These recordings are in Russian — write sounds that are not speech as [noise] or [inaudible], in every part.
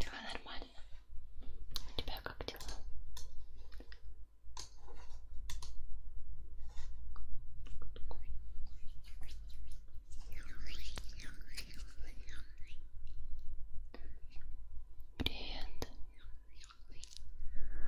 Да, нормально. У тебя как дела? Привет.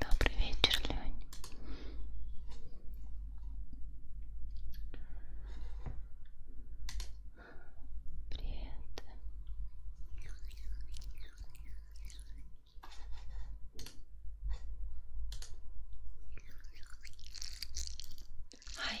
Добрый вечер, Лень. Привет. Ай.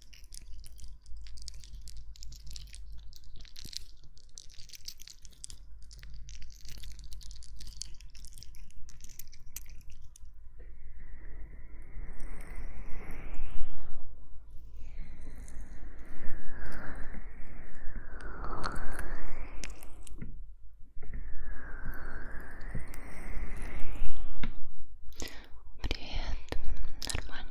Привет, нормально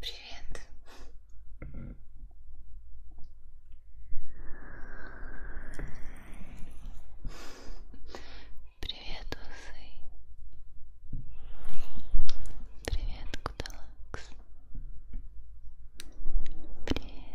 Привет. Привет, усы. Привет, Кудалакс. Привет.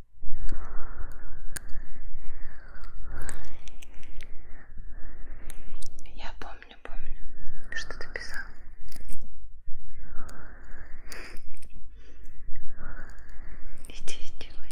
Я помню, помню, что ты писал. Иди, иди, Ой.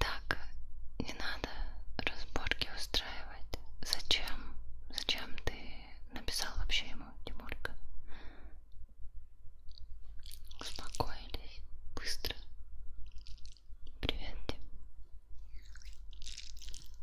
Так, не надо разборки устраивать. Зачем? Зачем ты написал вообще ему, Тимурка? Успокоились быстро. Привет, Тим.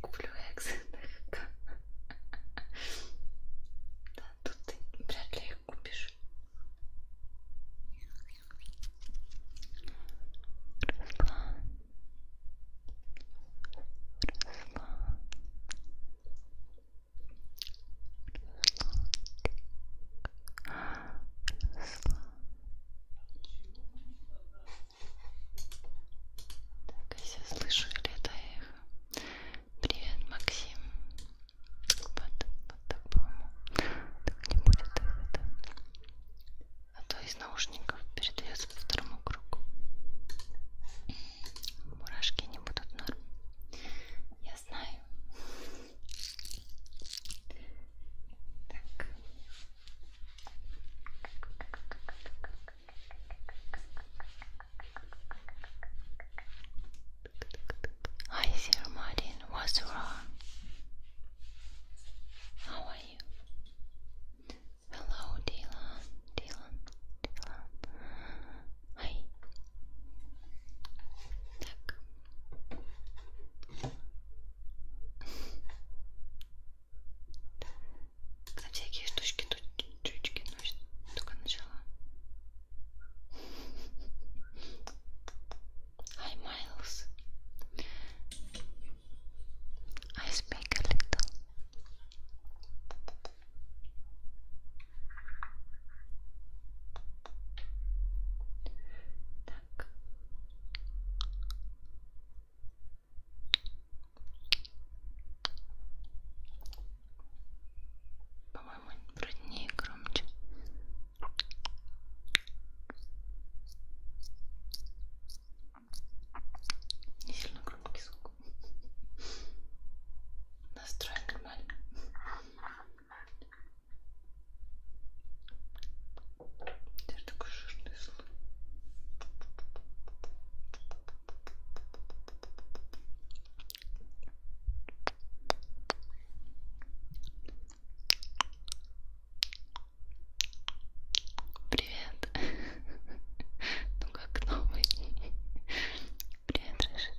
Куплю экзотек. Да, тут ты вряд ли их купишь. Руслан. Руслан. Руслан. Руслан. Так, я себя слышу или это эхо? Привет, Максим. Вот, вот так, по-моему. Так не будет это. А то из наушников передается по второму кругу. Мурашки не будут норм. Я знаю. Так. Hi there, Martin. What's wrong? How are you? Hello, Dylan. Dylan. Dylan. Hi. Там всякие штучки, чучки, но ну, только начала. Hi Miles. I speak a little. Так. По-моему, вроде не громче. Не сильно громкий звук. Настроен нормально. Даже такой жирный слой. Привет. [laughs] Ну как новый. Привет, Рыжий.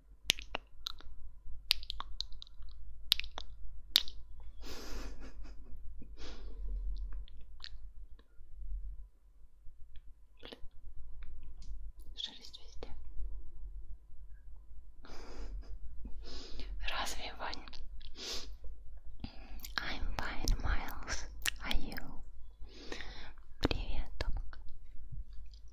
Шерсть везде. Разве, Ваня? I'm fine, Miles. Are you? Привет, Томка.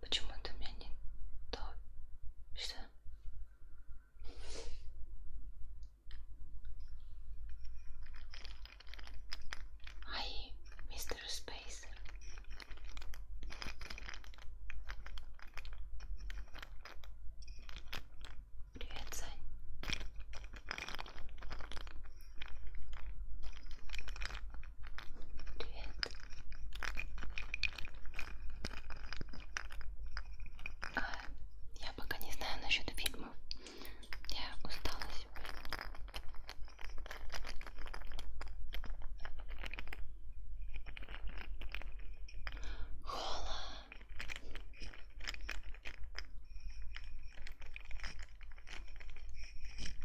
Почему-то у меня не то. Что? Ай, мистер Спейс. Привет, Сань. Привет. А, я пока не знаю насчет фильмов. Я устала сегодня. Хола.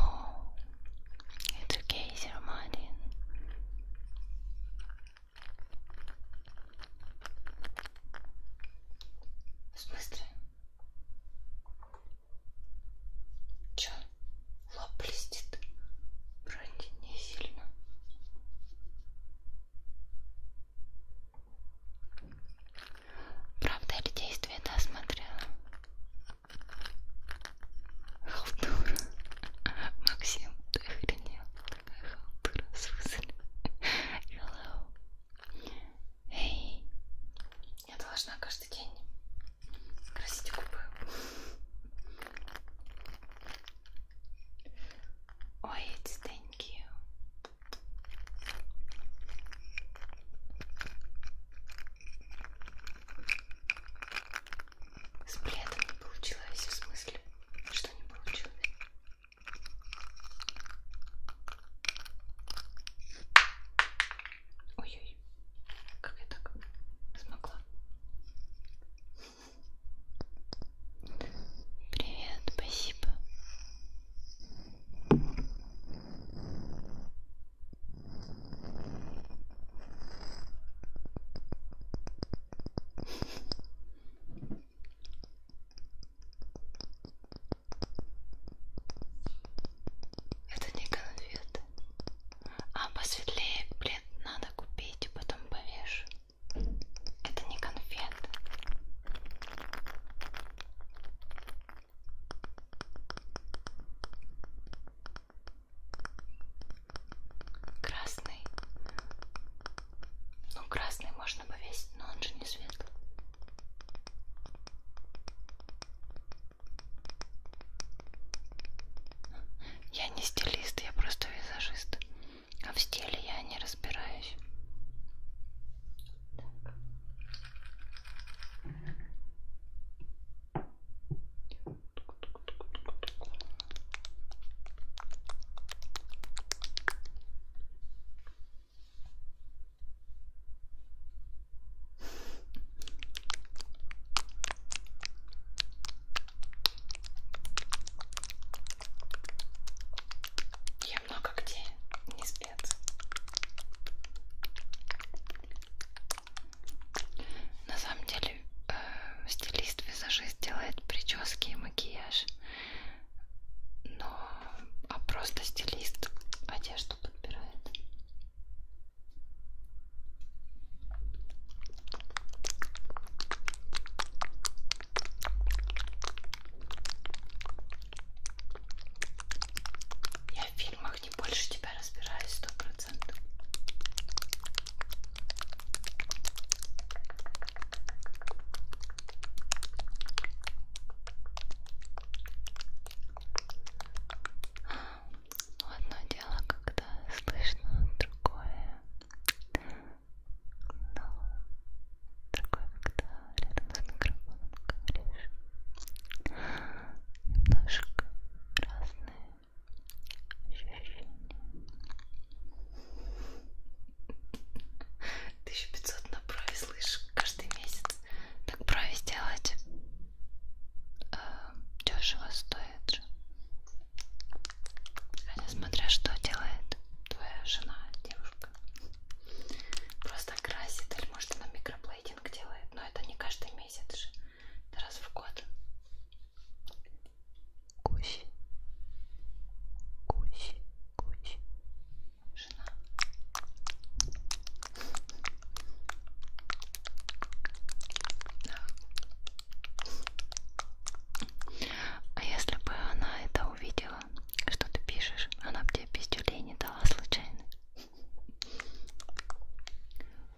Oh, it's okay, Sir Martin. В смысле? Чё? Лоб блестит? Вроде не сильно. Правда или действие, да, смотрела? Халтура. Максим, ты охренел. Какая халтура, сударь. Hello. Эй. Я должна каждый день красить губы. Ой, эти деньги. С пледом не получилось, в смысле, что не получилось. Ой-ой, как я так смогла. Привет, спасибо. Это не конфеты. А посветлее плед надо купить, потом повешу. Это не конфеты. Красный. Ну, красный можно повесить, но он же не светлый. Я не стилист, я просто визажист. А в стиле я не разбираюсь. Так. Я много где не спец. На самом деле э, стилист-визажист делает прически и макияж, но а просто стилист одежду подбирает. Я в фильмах травах не больше тебя разбираюсь сто процентов. Ну, одно дело, когда слышно, другое, но другое, когда рядом с микрофоном говоришь. Немножко разные 1500 на брови, слышишь, каждый месяц. Так брови сделать э, дешево стоит же. Хотя смотря что делает твоя жена, девушка. Просто красит или может она микроплейтинг делает, но это не каждый месяц же раз в год. Гусь. Гусь. Гусь. Жена. Да. А если бы она это увидела, что ты пишешь, она бы тебе пиздюлей не дала случайно.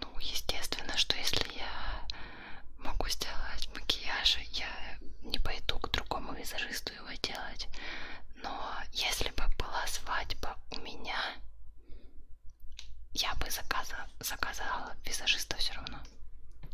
Ну, естественно, что если я могу сделать макияж, я не пойду к другому визажисту его делать. Но если бы была свадьба у меня, я бы заказа, заказала визажиста все равно.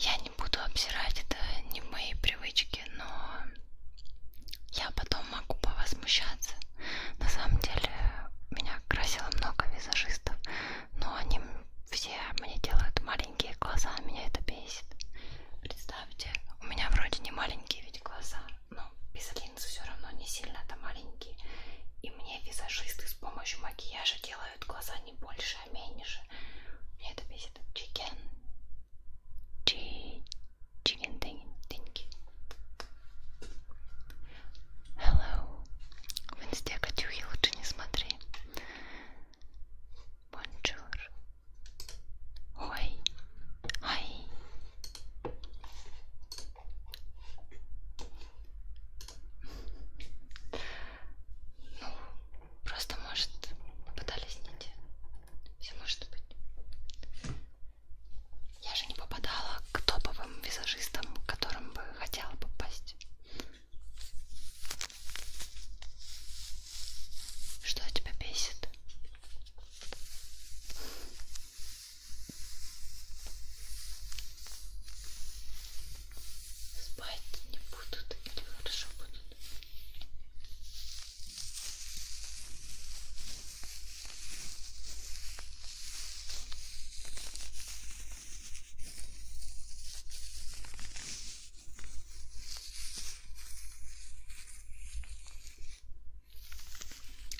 Я не буду обсирать, это не мои привычки, но я потом могу повозмущаться. На самом деле меня красило много визажистов, но они все мне делают маленькие глаза, меня это бесит. Представьте, у меня вроде не маленькие ведь глаза, ну, без линз все равно не сильно это маленькие. И мне визажисты с помощью макияжа делают глаза не больше, а меньше. Мне это бесит. Чикен. Чикен тинки. Hello. В инсте Катюхи лучше не смотри. Бонжур. はいはい ну просто может попытались не те все может быть я же не попадала к топовым визажистам к которым бы хотела попасть что тебя бесит? Спать не будут или хорошо будут?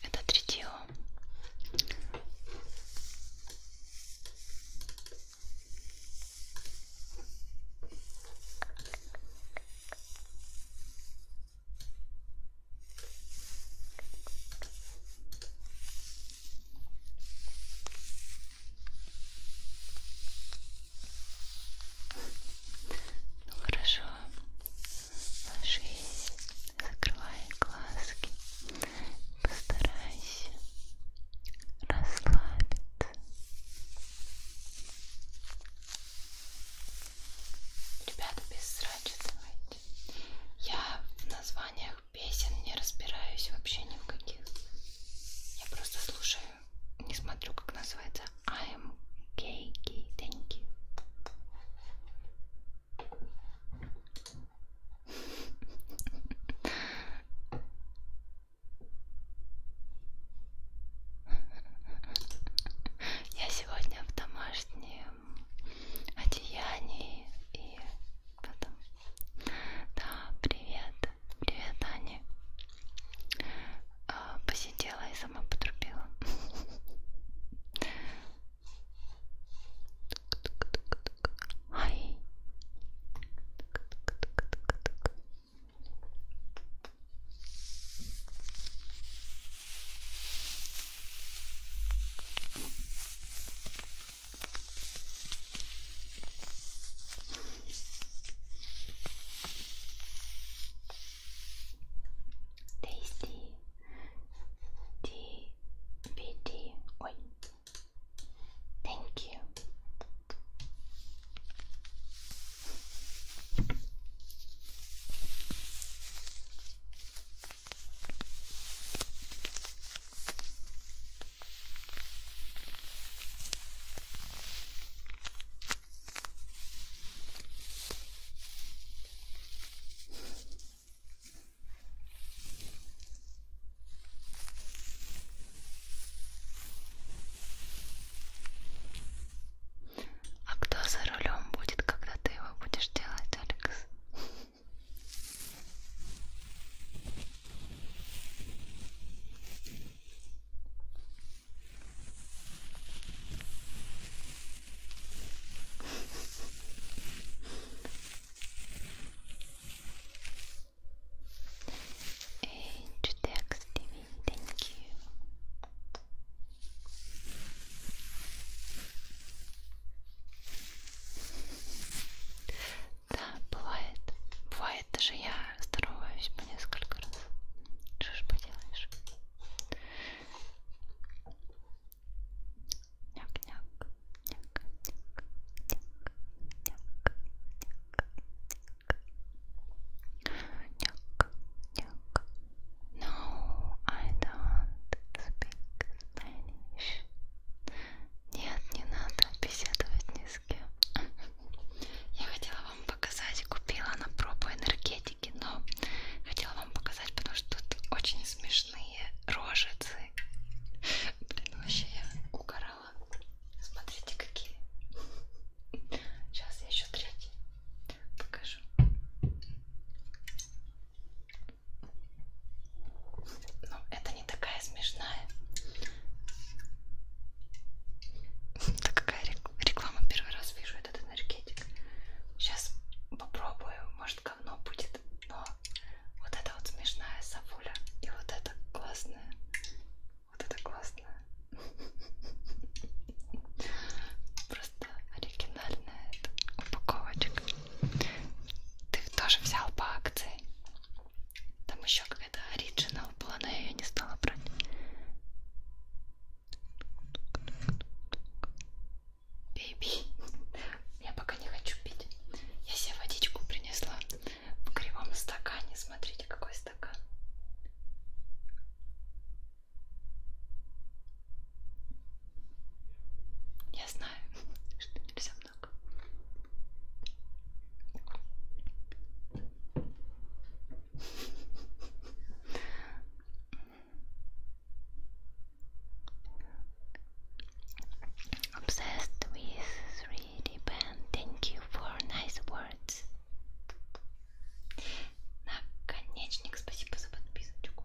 Это третье. Ну хорошо, ложись, закрывай глазки, постарайся расслабиться. Ребята, без срача давайте. Я в названиях песен не разбираюсь вообще ни в каких. Я просто слушаю, не смотрю, как называется I am cakey, thank you. Я сегодня в домашнем одеянии и потом. Да, привет, привет, Аня. А, посидела и сама потрубила. Ай. Tasty DBT. Wait. Thank you. А кто за рулем будет, когда ты его будешь делать, Алекс? Age text TV, thank you. Да, бывает. Бывает, даже я здороваюсь по несколько раз. Что ж поделаешь? Няк-няк, няк-няк, няк-няк, няк-няк, няк. No, I don't speak Spanish. Нет, не надо беседовать ни с кем. Я хотела вам показать, купила на пробу энергетик пакетики, но хотела вам показать, потому что тут очень смешные рожицы. Блин, вообще я угорала. Смотрите, какие. Сейчас я еще третий покажу. Но ну, это не такая смешная. Да какая реклама? Первый раз вижу чувствую этот энергетик. Сейчас попробую, может говно будет, но вот это вот смешная сафуля и вот это классная. Вот это классная. [laughs] Просто оригинальная упаковочка. Ты тоже взял по акции. Там еще какая-то оригинал была, но я ее не стала брать. Бейби. [laughs] Я пока не хочу пить. Я себе водичку принесла в кривом стакане. Смотрите, какой стакан. Я знаю, [laughs] что нельзя много. Obsessed with 3D pen. Thank you for nice words. Наконечник, спасибо за подписочку.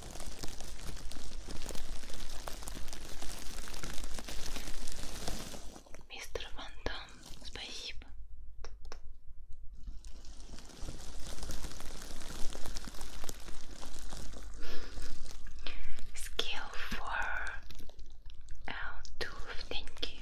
Мистер Ван Дам, спасибо. Skill for L2, thank you.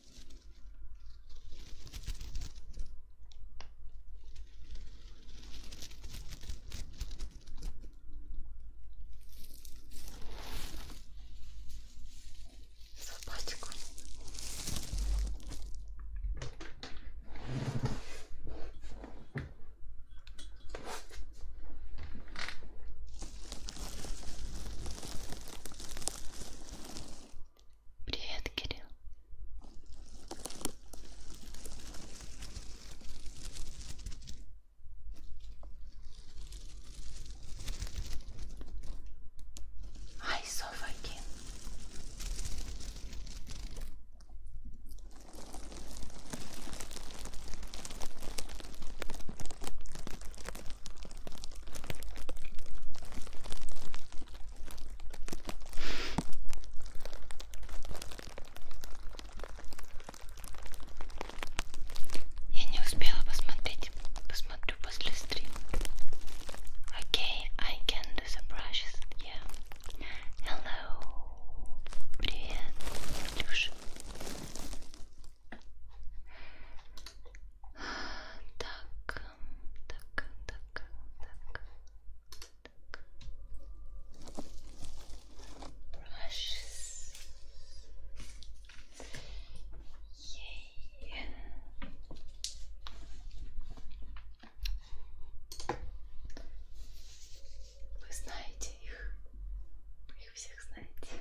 Собачку. Привет, Кирилл. Hi, Sofa King. Я не успела посмотреть, посмотрю после стрима. Окей, okay, I can do the brushes, yeah. Hello, привет, Илюша. Так, так, так, так. Brushes. Yay. Вы знаете их, вы их всех знаете.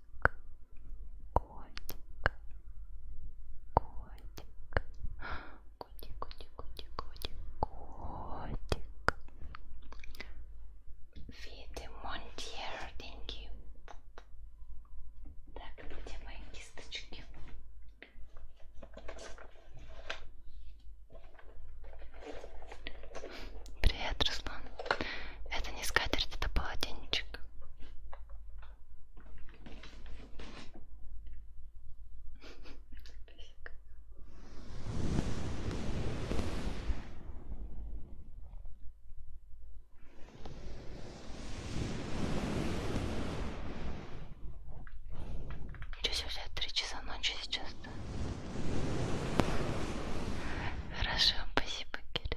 котик, котик, котик, котик, котик, котик, котик. Видемонтьер, деньги. Так, где мои кисточки? Привет, Руслан. Это не скатерть, это полотенечек. Че сегодня три часа ночи сейчас? -то? Хорошо, спасибо, Кирилл.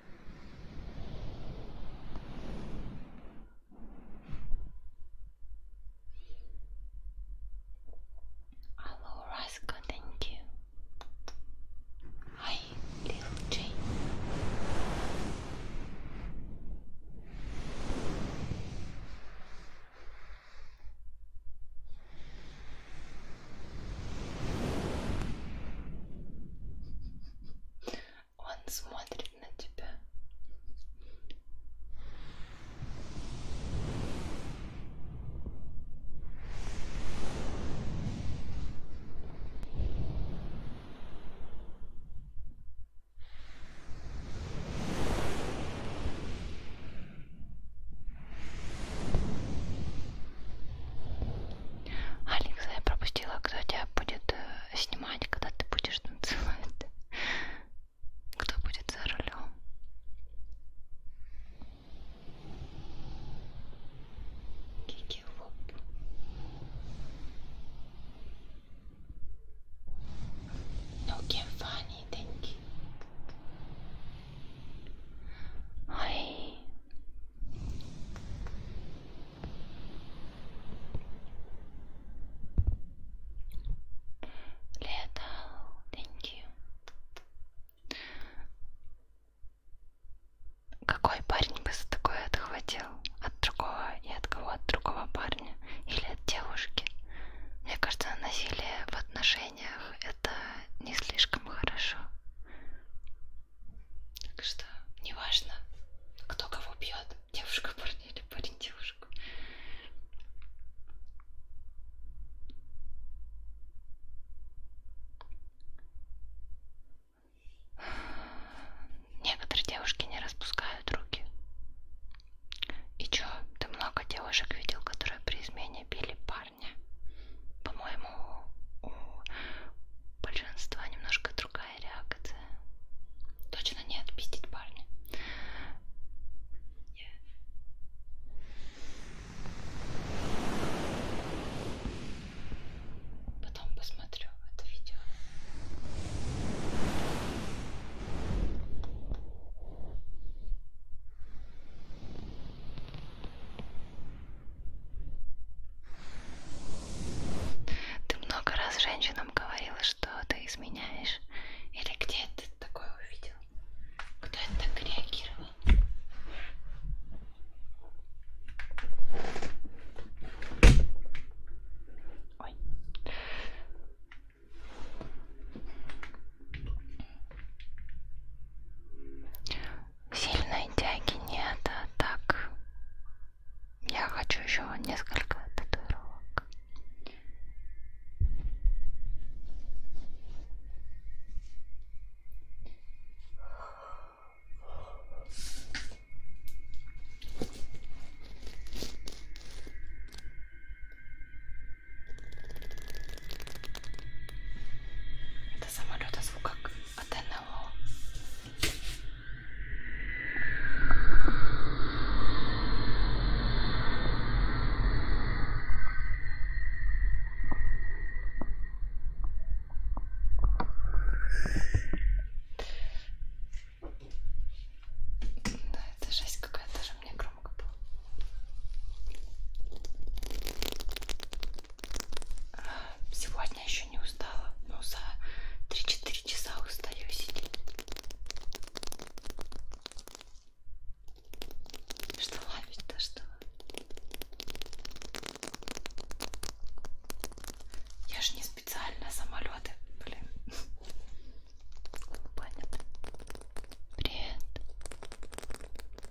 Hello, Roscoe, thank you. Hi, little Jane. Он смотрит на тебя. Алекс, я пропустила, кто тебя будет э, снимать, когда ты будешь танцевать. Кто будет за рулем? Кики лоб. Nokia ну, funny, thank you. Hi, Leta, thank you. Какой парень бы за такое отхватил? От другого и от кого? От другого парня или от девушки? Мне кажется, насилие в отношениях это не слишком хорошо. Так что неважно, кто кого бьет, девушка парня или парень девушку. Некоторые девушки не распускают руки. И чё, ты много девушек видел, которые при измене били по парня. По-моему, у большинства немножко другая реакция. Точно не отпиздить парня. Yeah. Потом посмотрю это видео. Ты много раз женщинам говорила, что ты изменяешь. Или где ты такое увидел? Кто это так реагировал? Ой сильной тяги нет, а так я хочу еще несколько татуировок. Это самолета звук как от НЛО. Да, это жесть какая-то же мне громко было. Сегодня еще не устала, но ну, за 3-4 часа устаю сидеть. Что ловить-то что? Я же не специально самолеты, блин. [laughs] Понятно. Привет.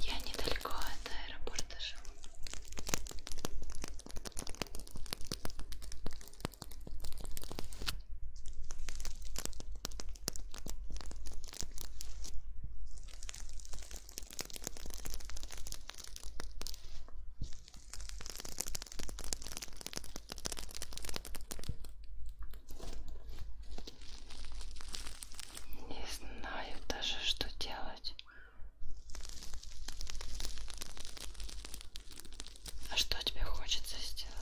Я недалеко от аэропорта живу. Не знаю даже, что делать. А что тебе хочется сделать?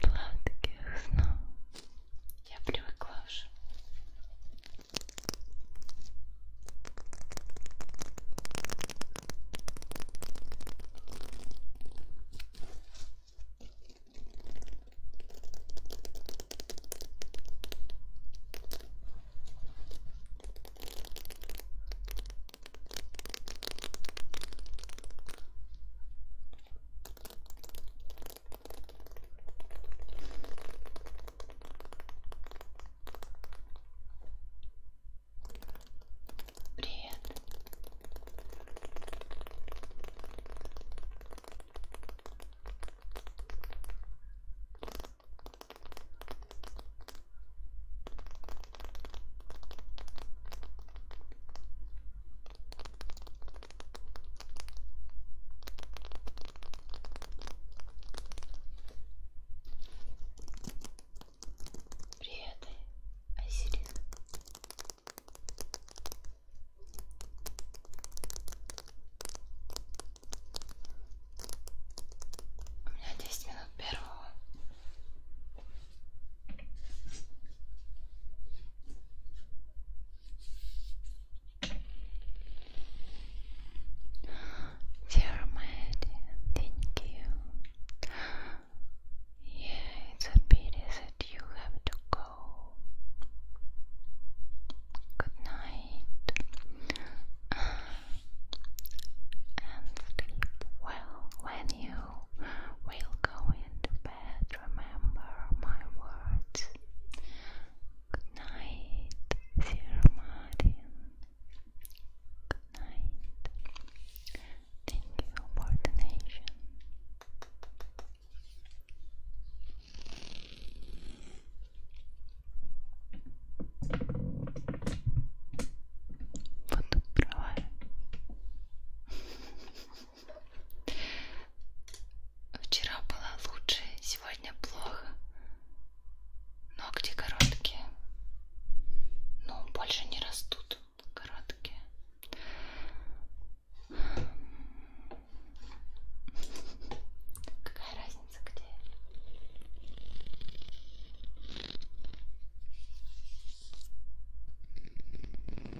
Сладких снов. Я привыкла уже. Привет. Приятный осирин. У меня 10 минут первого. Jeremiah, thank you. Yeah, it's a pity that you have to go. Good night. And sleep well when you will go into remember my words. Good night, dear Good night. Thank you for the nation. Вот [laughs] Вчера было лучше, сегодня плохо. Ногти короткие. Но ну, больше не растут короткие. Какая разница где?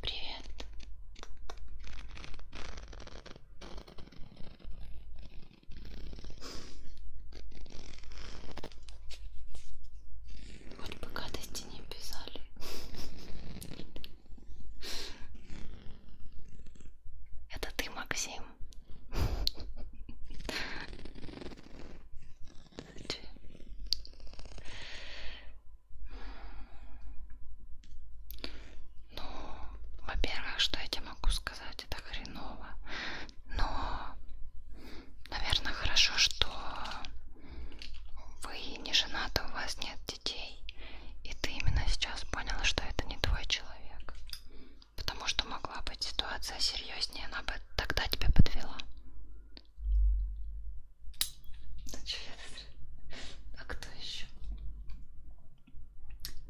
Привет. Хоть бы гадости не писали. Это ты, Максим? Ну, во-первых, что я тебе могу сказать, это хреново. Но, наверное, хорошо, что вы не женаты, у вас нет детей. И ты именно сейчас поняла, что это не твой человек. Потому что могла быть ситуация серьезнее, она бы тогда тебя подвела. Ну что я тут... А кто еще?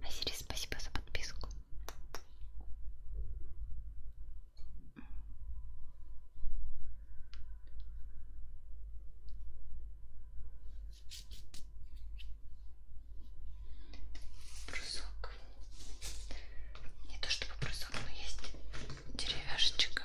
Азири, спасибо за подписку. Брусок. Не то чтобы брусок, но есть деревяшечка.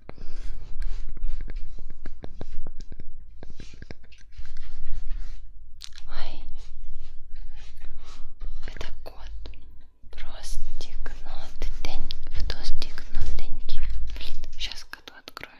Ой, это кот. Простикнотень, вдостикнотенький. Блин, сейчас коту открою.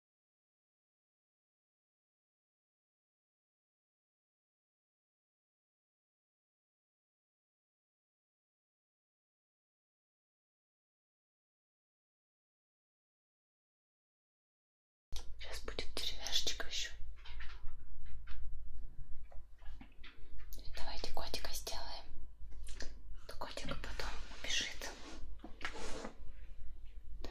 Сейчас будет деревяшечка еще. Давайте котика сделаем. То котик потом убежит. Да.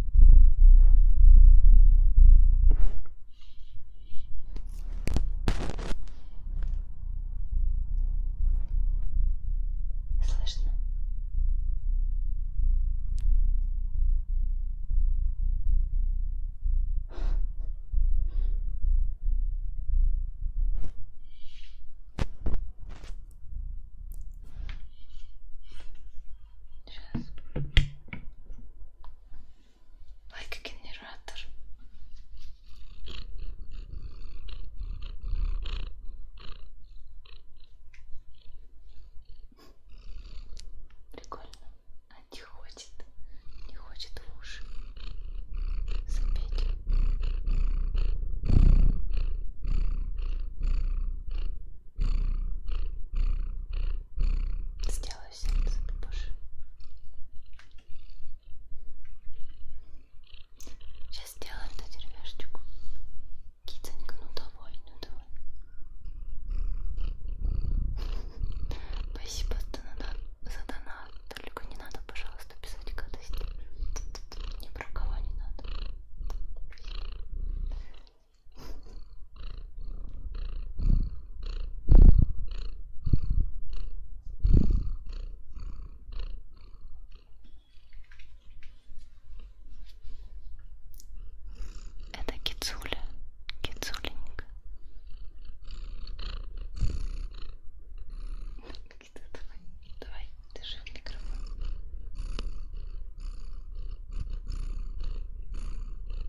Слышно? Сейчас. Лайкогенератор. Прикольно. А не хочет. Не хочет в уши. Запеть. Сделаю сердце, боже. Сейчас сделаю эту деревяшечку. Китенька, ну давай, ну давай. Спасибо за донат. Только не надо, пожалуйста, писать гадости. Ни про кого не надо. Это кицуля, кицуленька. Давай, давай, держи в микрофон.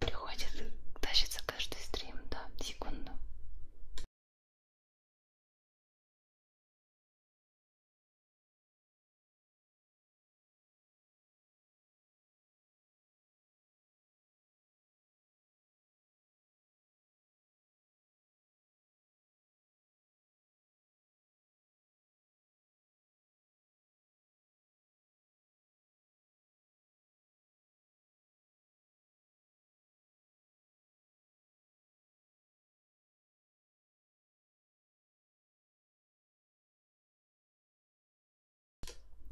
Приходит, тащится каждый стрим, да, секунду.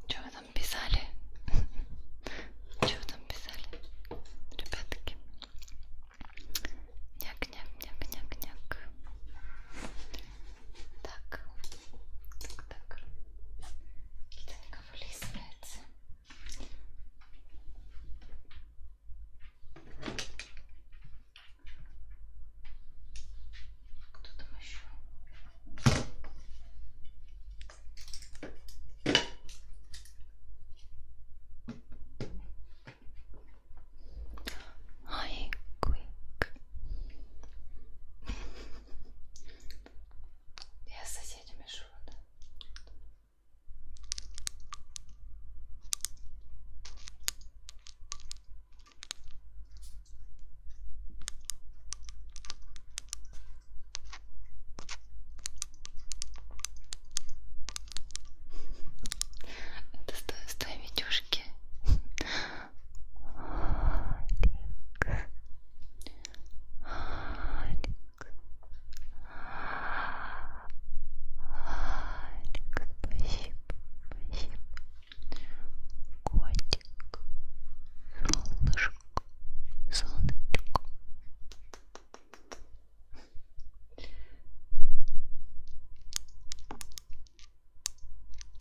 Что вы там писали? [laughs] Что вы там писали? Ребятки. Няк-няк-няк-няк-няк. Так, так, так. Китайка вылезается. Кто там еще? I quick. Я с соседями живу, да? Это с той, с той видюшки Алик. Алик. Алик, спасибо, спасибо. Котик, солнышко, солнышко.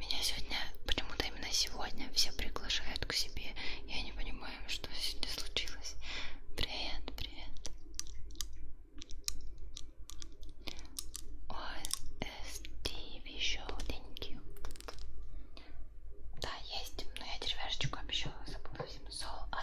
Меня сегодня, почему-то именно сегодня, все приглашают к себе. Я не понимаю, что сегодня случилось. Привет, привет. ОСТ еще thank you. Да, есть, но я деревяшечку обещала, забыла всем. So, I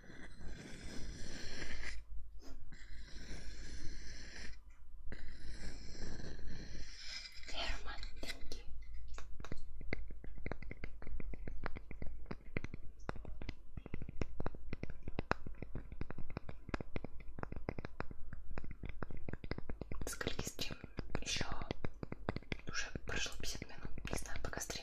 Ферматинки. Сколько стрим? Еще уже прошло 50 минут. Не знаю, пока стрим.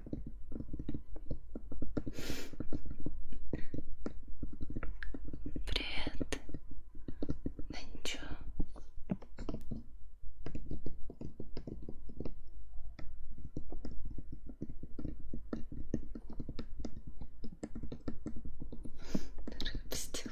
Привет. Да ничего. Рыбстил.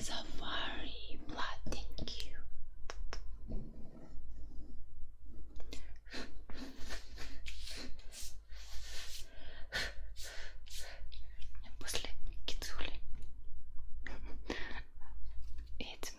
Safari blood, thank you. [laughs] После кицули. Эти [laughs]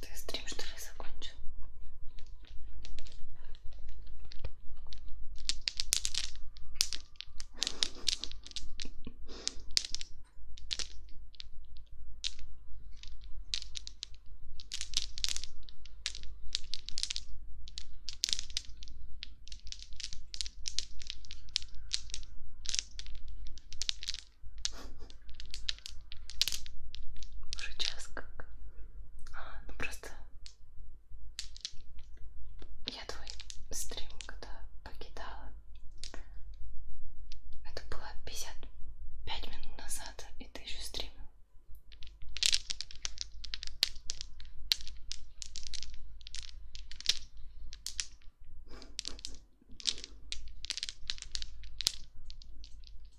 Ты стрим что ли закончил? Уже час как. А, ну просто я твой стрим когда покидала. Это было 55 минут назад, и ты еще стримил.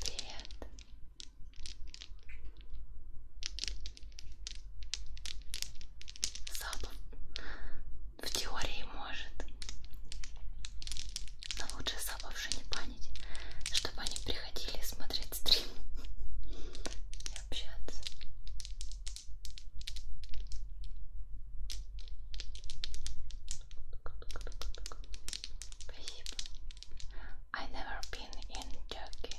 Привет. Запах в теории может, но лучше запавши не панить, чтобы они приходили смотреть стрим и общаться. I've never been in Turkey.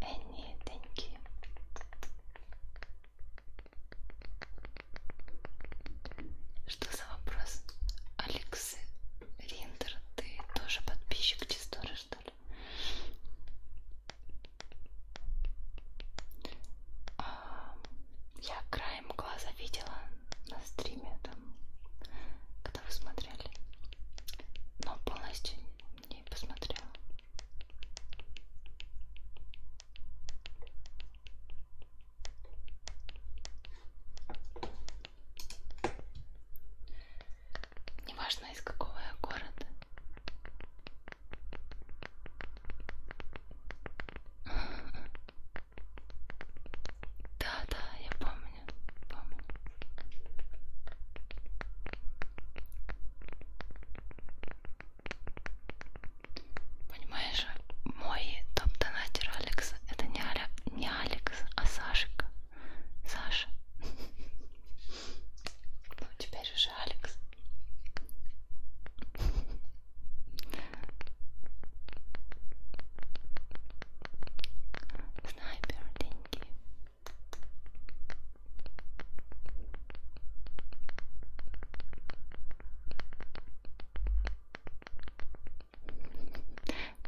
Энни, деньги. Что за вопрос, Алекс? Макс Риндер, ты тоже подписчик Чистора, что ли? А, я краем глаза видела на стриме там, когда вы смотрели, но полностью не посмотрела. Неважно из какого я города. [laughs] Да, да, я помню, помню. Понимаешь, мой топ-донатеру Алекс, это не, Аля, не Алекс, а Сашка. Саша. Ну, теперь уже Алекс. Снайпер, деньги.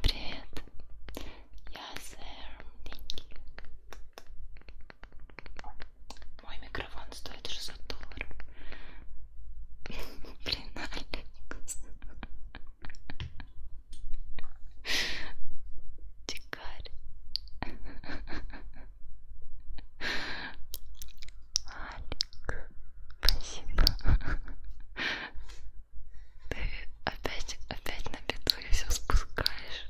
Привет. Я сэр Деньги. Мой микрофон стоит 600 долларов. [laughs] Блин, Алекс. Дикарь. Алик, спасибо. Ты опять, опять на беду и все спускаешь.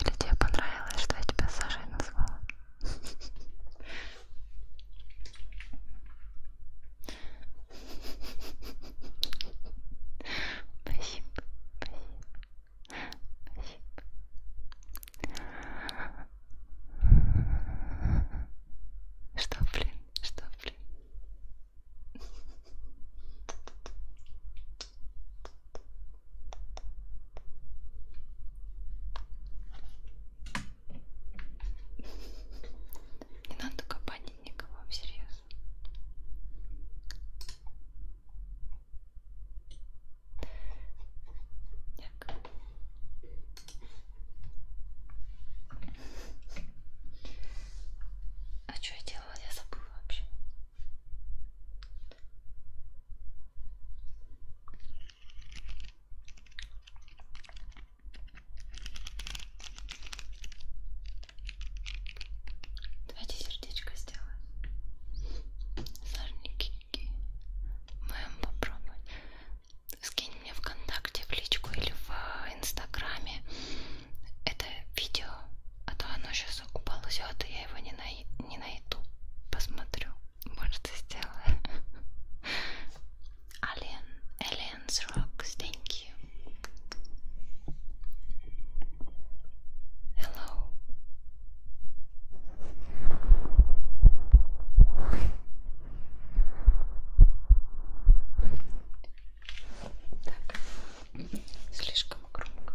Или тебе понравилось, что я тебя Сашей назвала? Спасибо, спасибо, спасибо. Что, блин? Что, блин? Не надо копанить никого, всерьез. Так. А что я делала? Я забыла вообще. Давайте сердечко сделаем. Сорники. Мы попробовать скинь мне ВКонтакте в личку или в Инстаграме это видео, а то оно сейчас уползет, и я его не, най не найду. Посмотрю. Может, сделаю. Alien, Aliens Rocks, thank you. Hello. Так, слишком громко.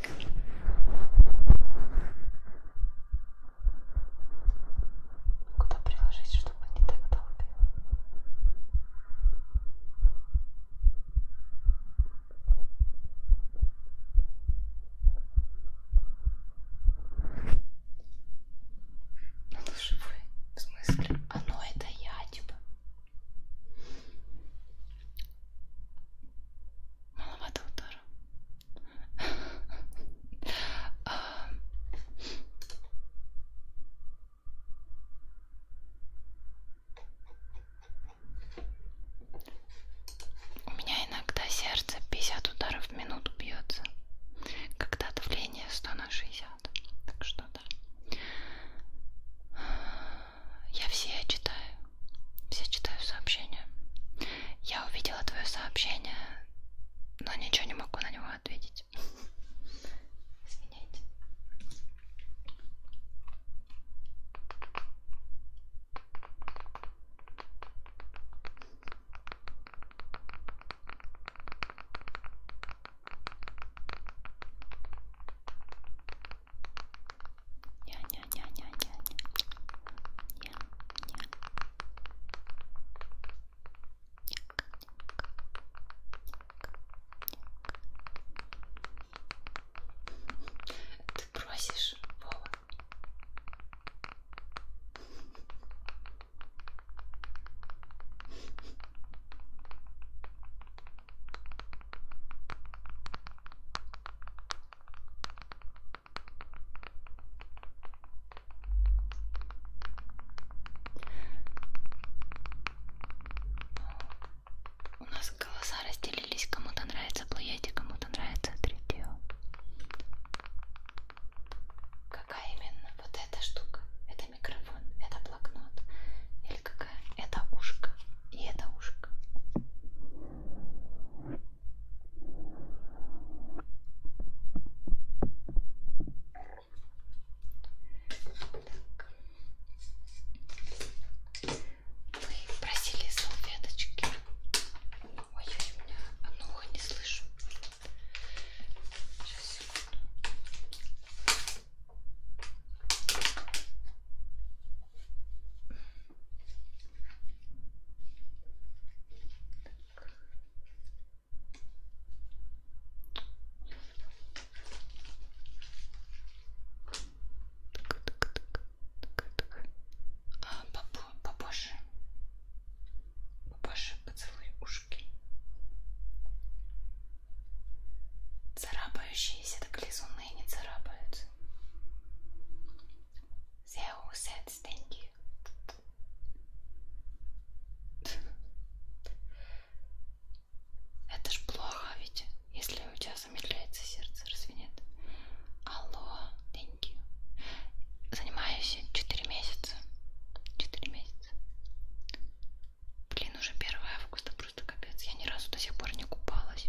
Куда приложить, чтобы не так долбило? Ну живой, в смысле? Оно а, ну, это я, типа. Маловато удара. У меня иногда сердце 50 ударов в минуту бьется, когда давление 100 на 60. Так что да. Я все читаю. Все читаю сообщения. Я увидела твое сообщение, но ничего не могу на него ответить. [laughs] Извиняйте. Ня-ня-ня-ня-ня-ня. Ня-ня. Ты просишь, Вова. У нас голоса разделились, кому-то нравится плеяти, а кому-то нравится третье. Какая именно? Вот эта штука. Это микрофон, это блокнот. Или какая? Это ушко. И это ушко. Вы просили салфеточки. Ой, у меня одно ухо не слышу. Сейчас, секунду. А, попозже. Попозже поцелуй ушки. Царапающиеся так лизуны не царапаются. They all said thank you. Это ж плохо, ведь если у тебя замедляется сердце, разве нет? Алло, thank you. Занимаюсь 4 месяца. 4 месяца. Блин, уже 1 августа, просто капец. Я ни разу до сих пор не купалась.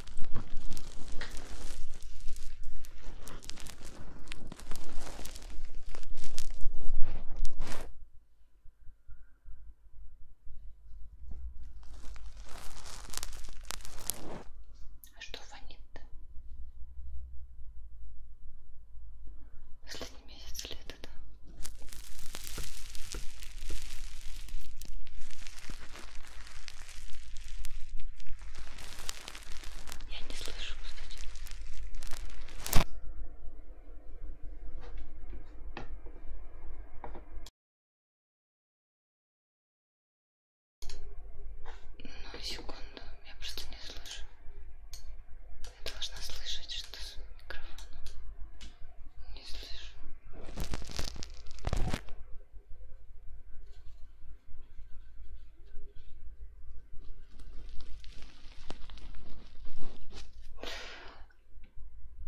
А что фонит-то? Последний месяц лета, да? Я не слышу, кстати. Ну, секунду, я просто не слышу. Я должна слышать, что с микрофоном. Не слышу.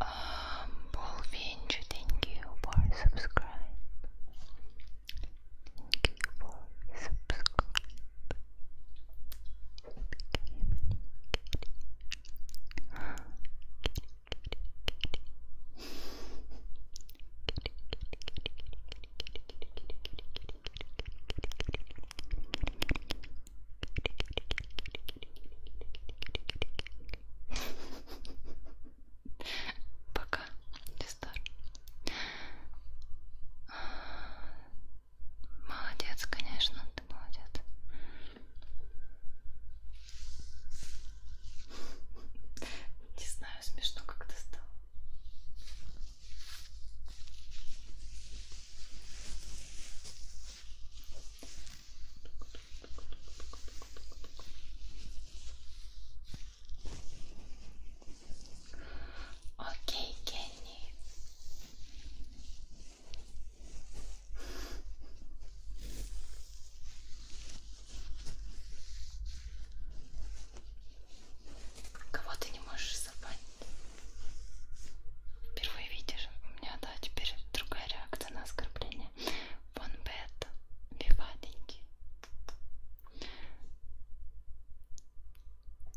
Um, Wolfinch, thank you for subscribe. Thank you for subscribe. [laughs] Пока, Листар. Молодец, конечно, ты молодец. [laughs] Не знаю, знаю, смешно как-то стало. Окей, Кенни. Кого ты не можешь забанить? Впервые видишь, у меня, да, теперь другая реакция на оскорбление. Вон бет, виваденький.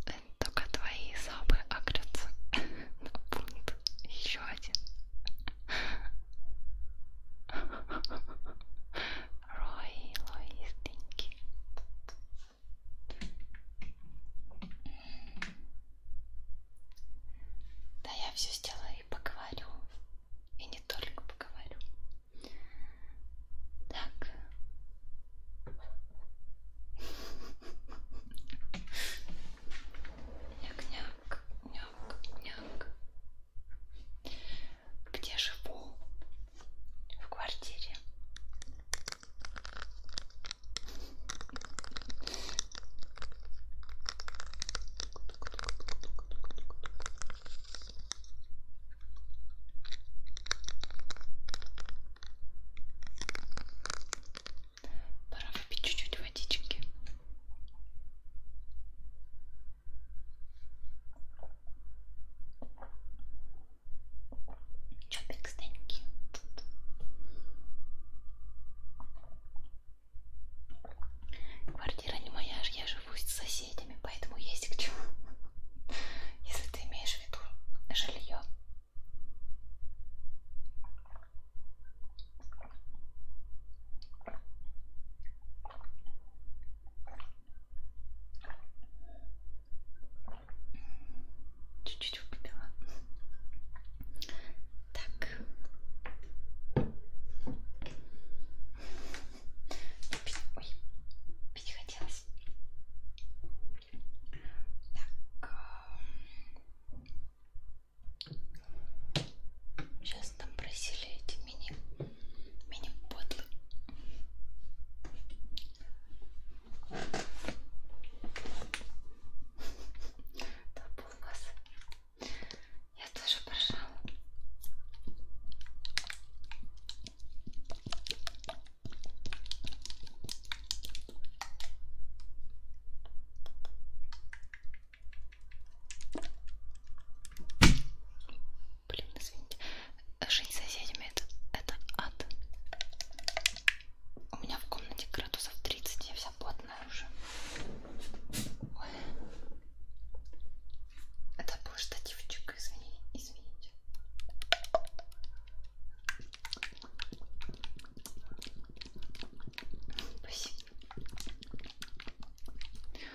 Э, только твои забы агрятся [laughs] на пункт. Еще один. Roy, Lois, thank you. Да, я все сделаю и поговорю. И не только поговорю. Так. Няк-няк, няк-няк где живу в квартире. Пора выпить чуть-чуть водички. Чопик, thank you. Квартира не моя, я живу с соседями, поэтому есть к чему. Если ты имеешь в виду жилье. Чуть-чуть выпила. Так. Ой, пить хотелось. Так. Сейчас э, нас там просили эти мини мини подлы да полгода я тоже пожала Блин, извините. Жить с соседями это, это ад. У меня в комнате градусов 30, я вся потная уже. Ой. Это был штативчик, извини, извините. Спасибо.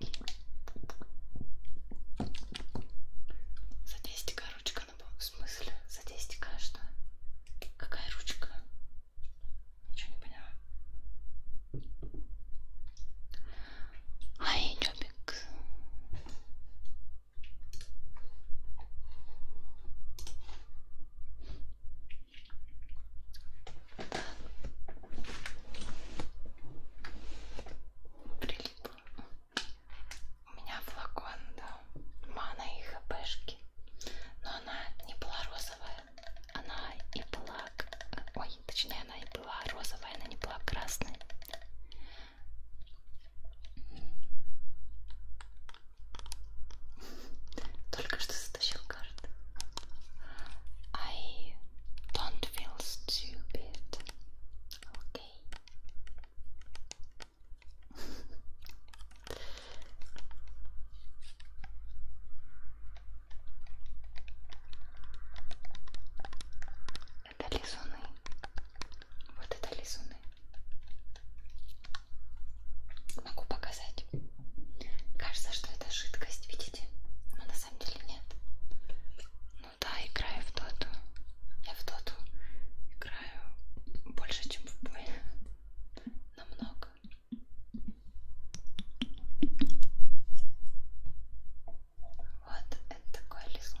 За 10 ручка на ну, В смысле? За 10 а что? Какая ручка? Ничего не поняла. Ай, Любик. Так прилипло. У меня флакон, да, мана и хпшки. Но она не была розовая, она и была, ой, точнее она и была розовая, она не была красной. Только что затащил карту. I don't feel stupid. Окей. Это лизуны. Вот это лизуны. Могу показать. Кажется, что это жидкость, видите? Но на самом деле нет. Ну да, играю в доту. Я в доту играю больше, чем в бой. [laughs] Намного. Вот, это такой лизун.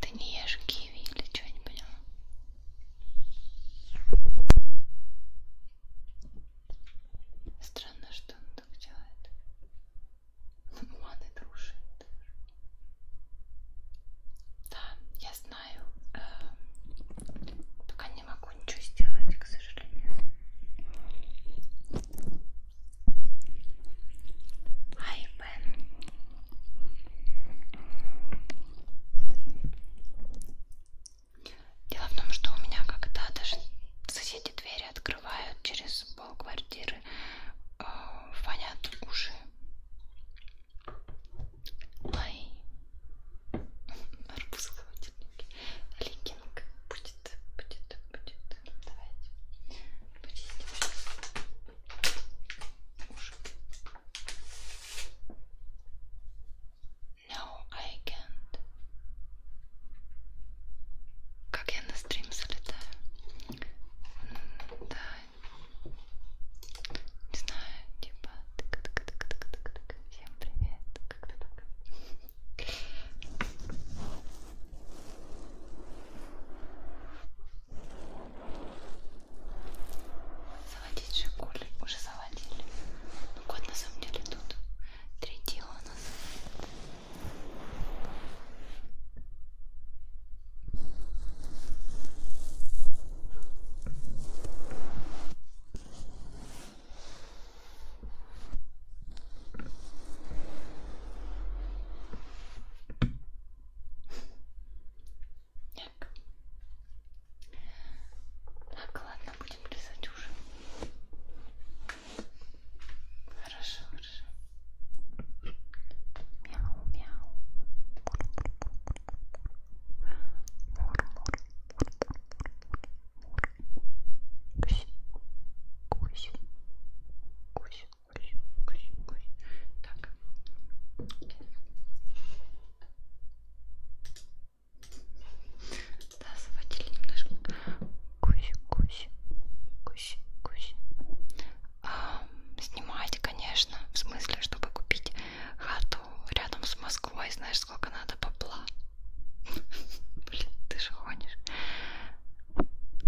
Ты не ешь киви или что, не поняла? Странно, что он так делает. Маны дружит. Да, я знаю. Эм, пока не могу ничего сделать, к сожалению. Ай, Бен. Дело в том, что у меня когда даже соседи двери открывают через полквартиры э, фонят уши. Ай. Арбуз в холодильнике. Ликинг. Будет, будет, будет. Давайте. Почистим сейчас. Уши. No, I can't. Как я на стрим залетаю. Да, не знаю, типа всем привет, как-то так. Заводить жигули, уже заводили. Ну кот на самом деле тут. Третий у нас. Так. Так, ладно, будем резать ужин. Хорошо, хорошо. Мяу, мяу. Мур, мур. Кусь, кусь, кусь, кусь, кусь, кусь. Так. Да, заводили немножко. Кусь, кусь, кусь, кусь снимать, конечно, в смысле, чтобы купить хату рядом с Москвой, знаешь, сколько надо бабла. [laughs] Блин, ты же гонишь.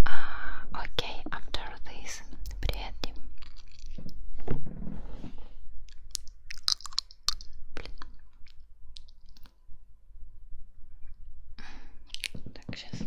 А, окей, after this. Привет, Дим. Блин. Так, сейчас.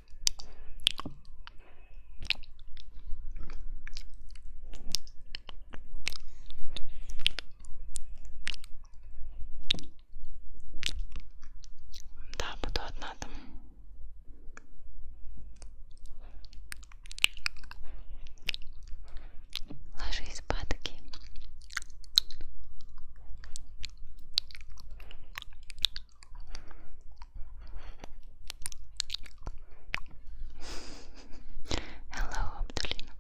Да, буду одна там. Ложись падки. Hello, Абдулина.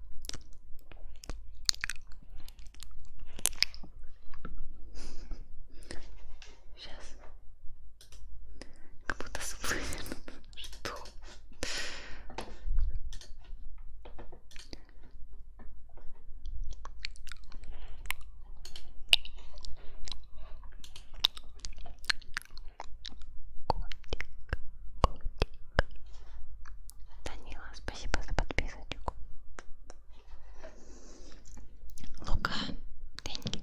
Сейчас. Как будто сплыли. Что? Данила, спасибо за подписочку. Лука, деньги.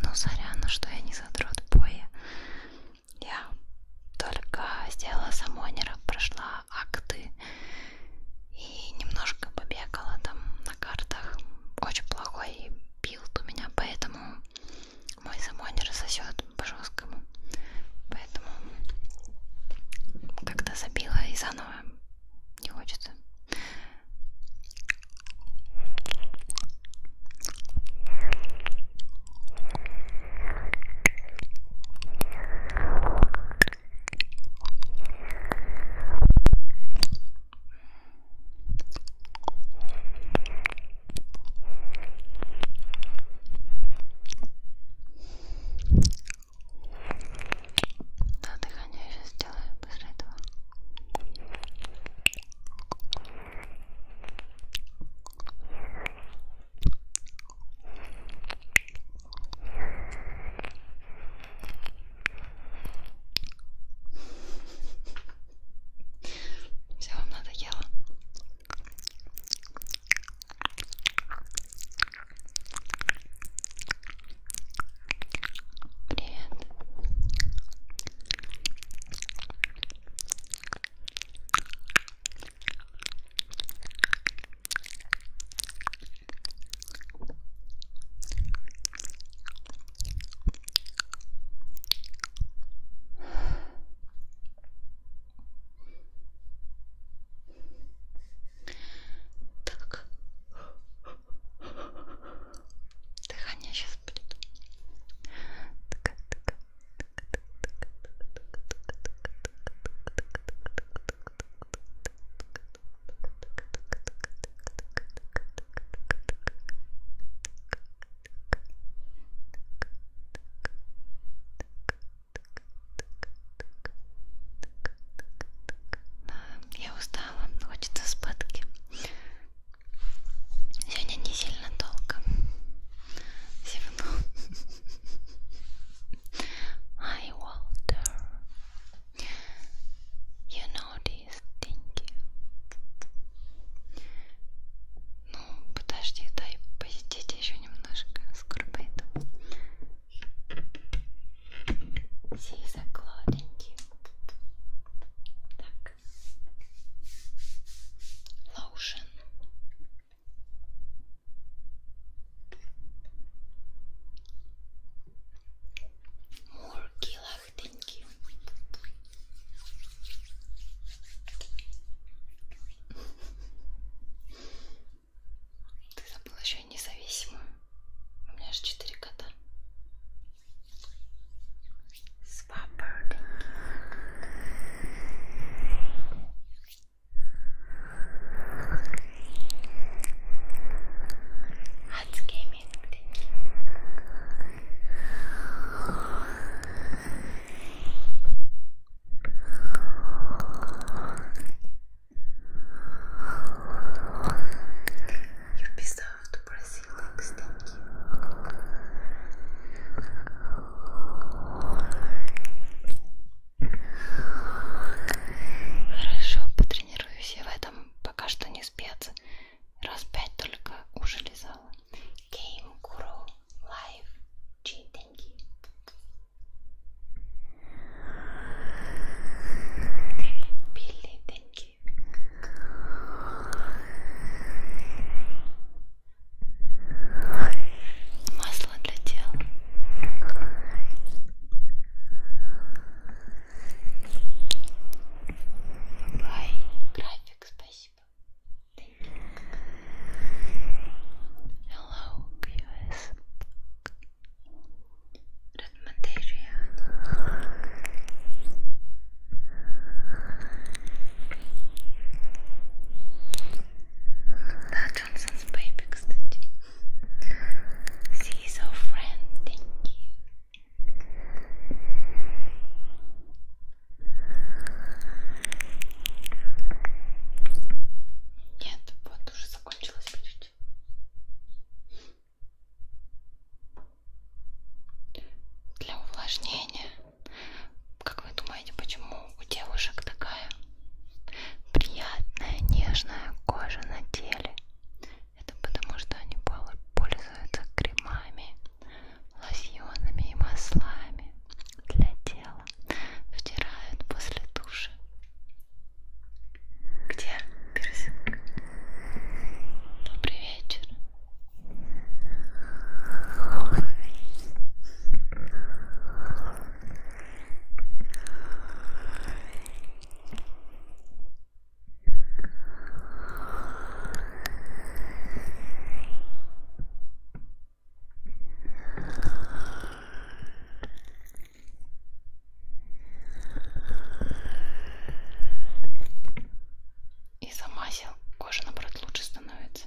Ну, сорян, что я не задрот боя я только сделала самонера, прошла акты и немножко побегала там на картах. Очень плохой билд у меня, поэтому мой самонер сосет по жесткому. Поэтому как-то забила и заново не хочется. Да, дыхание я сейчас сделаю после этого. Все вам надоело. Привет. Так. Дыхание сейчас будет. Так, так. Я устала, хочется спадки. Сегодня не сильно долго. Зевнул. Hi Walter. You know this, thank you. Ну, подожди, дай посидеть еще немножко с Курбейтом. Сиза, гладенький. Так. Lotion. More Gilach, thank you. Ты забыла еще и независимую. У меня аж четыре кота. Spopper, thank thank you. You deserve to Brazil, thank you. Хорошо, потренируюсь. Я в этом пока что не спец. Раз пять только уже лизала. Game Guru Live Cheating. Билли, thank you масло для тела. Бай, график, спасибо. Thank you. Hello, QS. Редмонтажиан. Да, Джонсонс Бэйби, кстати. See so friend, thank you. Нет, вот уже закончилось почти. Для увлажнения. Как вы думаете, почему у девушек такая приятная, нежная кожа на теле? Это потому что они пользуются кремами, лосьонами и маслами для тела, втирают после души. Где персинг? Добрый вечер. И замазил, кожа наоборот лучше становится.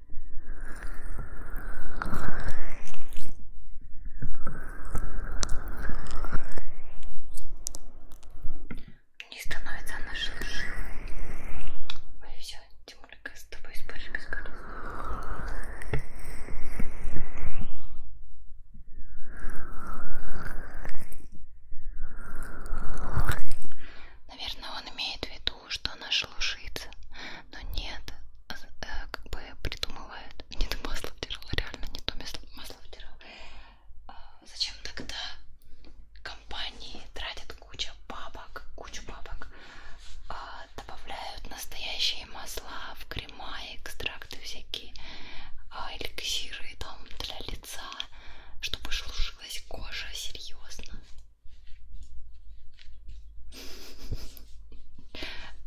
Не становится она ширше. Ой, все, Тимулька, с тобой споришь бесконечно. Наверное, он имеет в виду ту, что она шелушится. Но нет, э, как бы придумывают. [laughs] Не то масло втирала, реально не то масло втирала. А зачем тогда компании тратят кучу бабок, кучу бабок, а добавляют настоящие масла в крема, экстракты всякие, а эликсиры там для лица, чтобы шелушилась кожа серьезно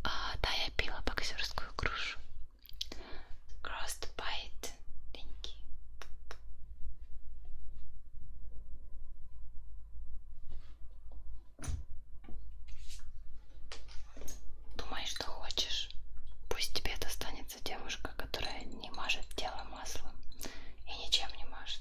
а, да, я пила боксерскую грушу. Crossbite. Thank you. Думай, что хочешь. Пусть тебе достанется девушка, которая не мажет тело маслом и ничем не мажет.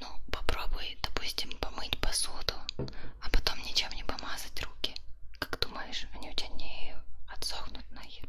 Ну, попробуй, допустим, помыть посуду, а потом ничем не помазать руки. Как думаешь, они у тебя не отсохнут нахер?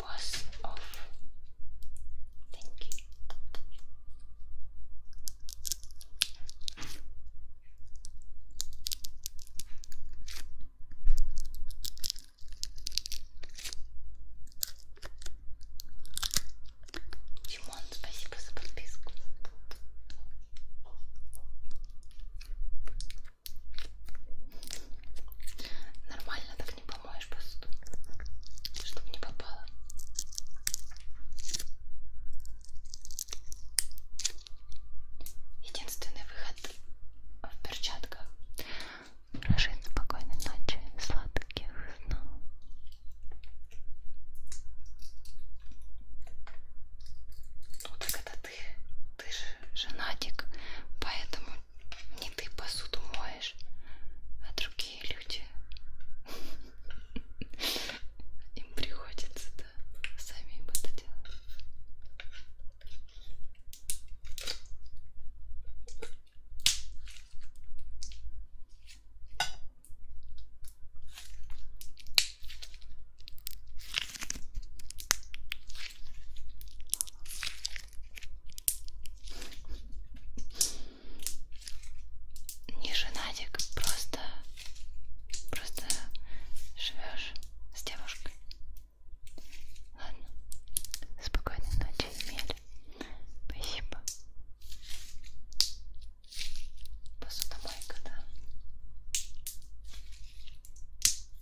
was off. Thank you. Чимон, спасибо за подписку. Нормально так не помоешь посуду, чтобы не попало. Единственный выход в перчатках. Прошу спокойной ночи, сладких снов. Ну так это ты ты же женатик, поэтому не ты посуду моешь, а другие люди. Им приходится, да, самим это делать. Не женатик, просто, просто живешь с девушкой. Ладно, спокойной ночи, Эмиль. Спасибо. Посудомойка, да.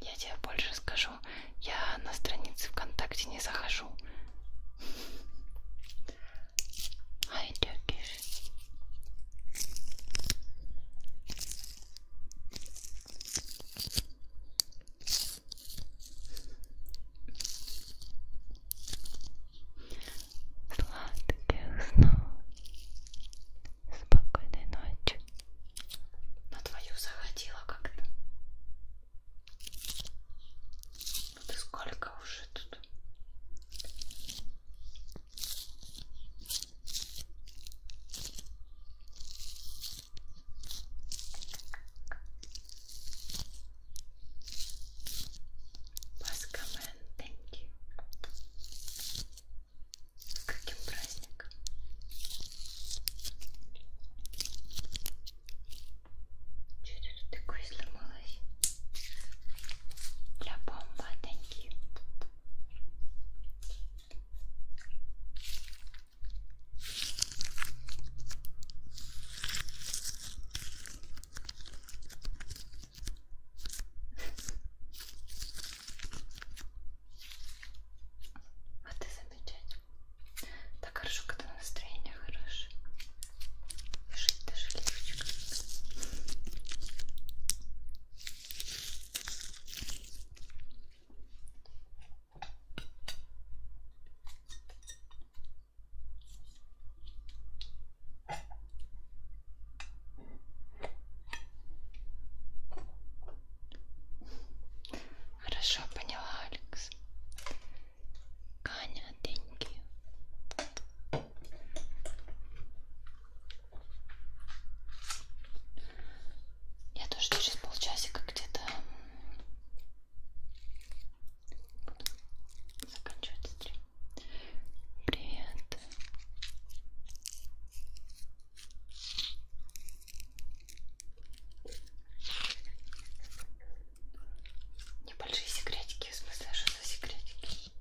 Я тебе больше скажу, я на странице ВКонтакте не захожу. Ай, Turkish. Сладких снов. Спокойной ночи. На твою заходила как-то. Ну ты сколько уже тут? Pass comment, thank you. С каким праздником? Чего ты тут такое сломалась? Для бомба, танки. Вот и замечательно. Так хорошо, когда настроение хорошее. И жить даже легче. Хорошо, поняла, Алекс. Каня, thank you. Я тоже через полчасика где-то буду заканчивать стрим. Привет. Небольшие секретики, в смысле, что за секретики?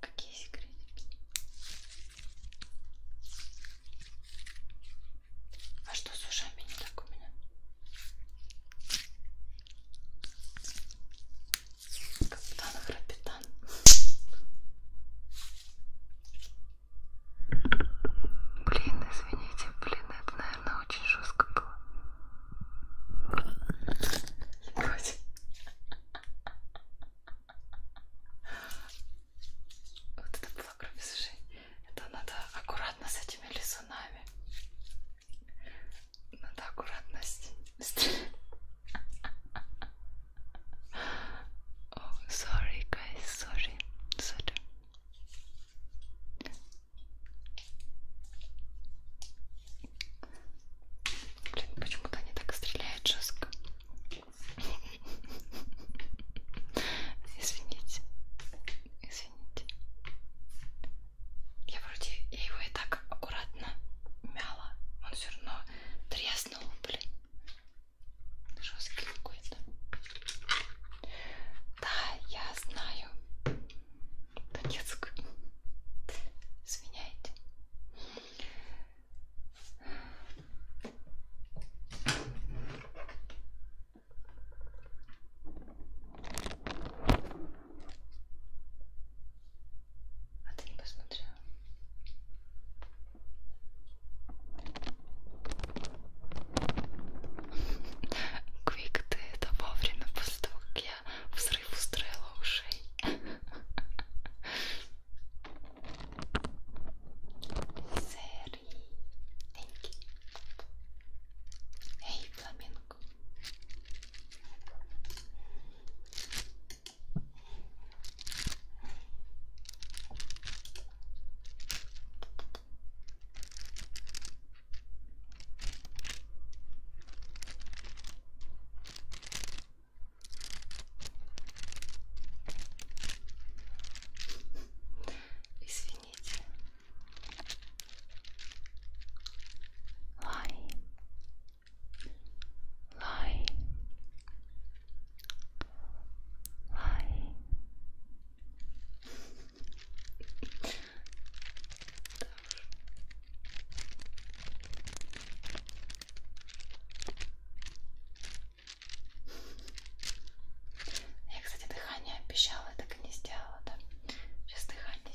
Какие секретики? А что с ушами не так у меня? Капитан Храпитан. Блин, извините, блин, это, наверное, очень жестко было. Вроде. Вот это было кровосжение. Это надо аккуратно с этими лизунами. Надо аккуратно с Oh, sorry, guys, sorry, sorry. Блин, почему-то они так стреляют жестко. Извините, извините. Я вроде я его и так аккуратно мяла. Он все равно треснул, блин. Жесткий какой-то. Да, я знаю. Донецк. Извиняйте. А ты не посмотрела? [laughs] Квик, ты это вовремя после того, как я взрыв устроила ушей. [laughs] Сери. Эй, фламинго. Извините. Лайм lie lie Я, кстати, дыхание обещала, так и не сделала, да? Сейчас дыхание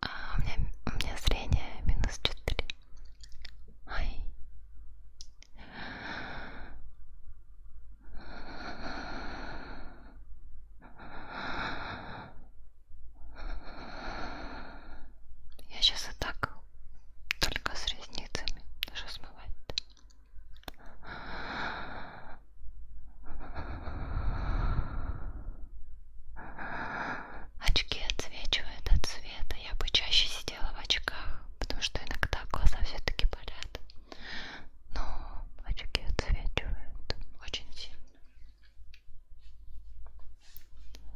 а, у, меня, у меня зрение минус 4. Ай. Я сейчас и так только с ресницами. Даже смывать-то. Очки отсвечивают от света. Я бы чаще сидела в очках, потому что иногда глаза все-таки болят. Но очки отсвечивают очень сильно.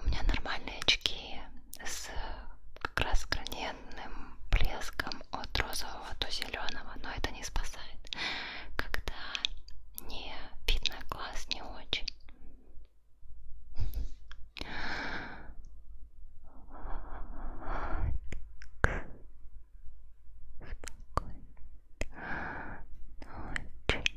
У меня нормальные очки с как раз граненным блеском от розового до зеленого, но это не спасает, когда не видно глаз не очень. Спокойной ночи.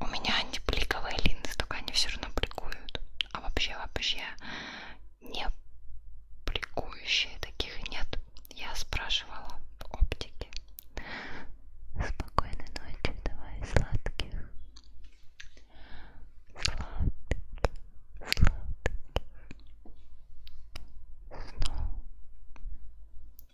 У меня не бликовые линзы, только они все равно бликуют. А вообще, вообще не бликующие таких нет. Я спрашивала оптики. Спокойной ночи, давай сладких. Сладких, сладких. Снова.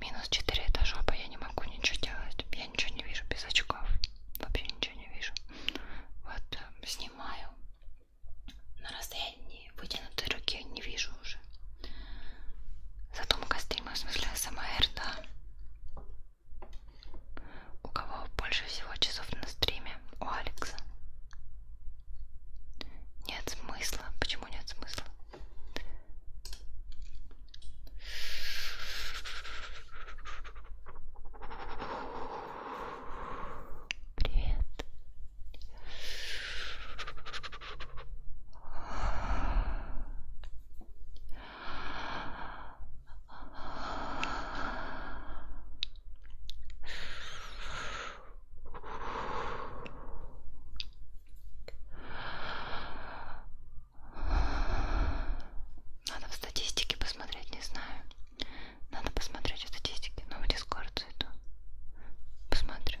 Минус 4 этажа, я не могу ничего делать. Я ничего не вижу без очков. Вообще ничего не вижу. Вот э, снимаю. На расстоянии вытянутой руки не вижу уже. Задумка стрима, в смысле СМР, да. У кого больше всего часов на стриме? У Алекса. Нет смысла. Почему нет смысла? Привет. Надо в статистике посмотреть, не знаю. Надо посмотреть в статистике, но ну, в дискорд зайду. Посмотрю.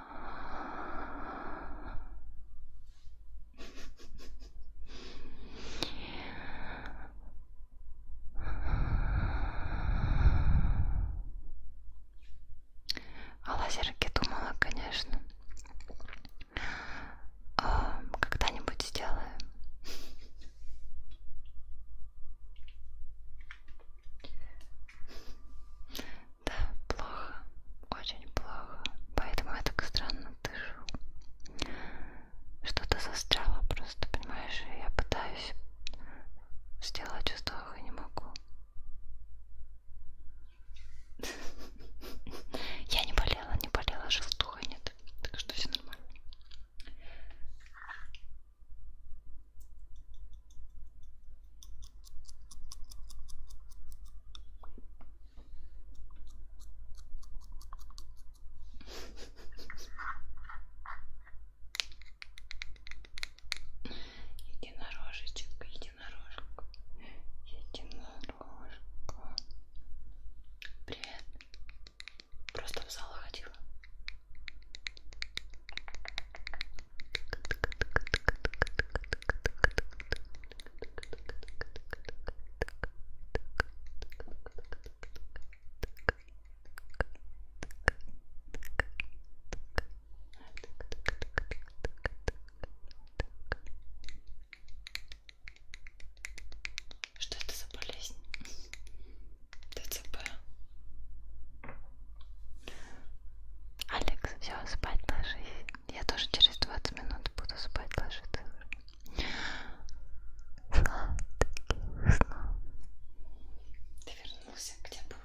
О лазерке думала, конечно. А, когда-нибудь сделаю. Да, плохо, очень плохо. Поэтому я так странно дышу. Что-то застряло просто, понимаешь? Я пытаюсь сделать вздох и не могу. Я не болела, не болела, желтуха нет. Так что все нормально. Единорожечек, единорожка, единорожка. Привет. Просто в зал ходила. Что это за болезнь? ДЦП. Алекс, все, спать ложись. Я тоже через 20 минут буду спать ложиться. Сладких снов. Ты вернулся где был?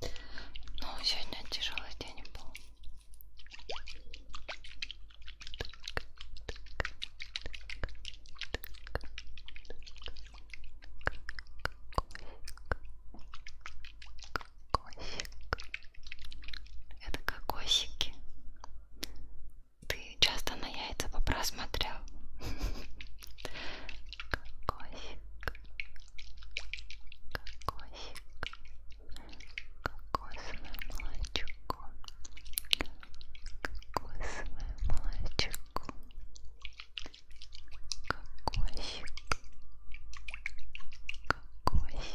Ну, сегодня тяжелый день был. Кокосик. Это кокосики. Ты часто на яйца попра смотрел? Кокосик. Кокосик. Кокосовое молочко. Кокосовое молочко. Кокосик. Кокосик.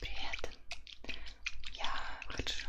Привет. Я хочу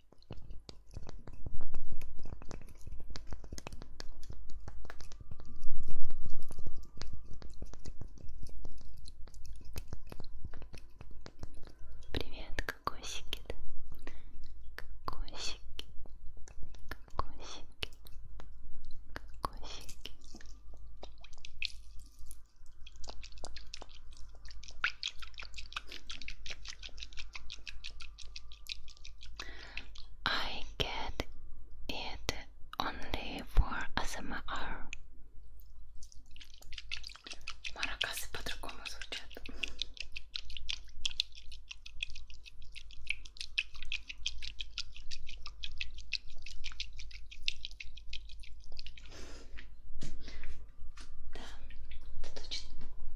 Привет, кокосики, да? Кокосики, кокосики, кокосики. I get it only for ASMR. Маракасы по-другому звучат. Да, точно.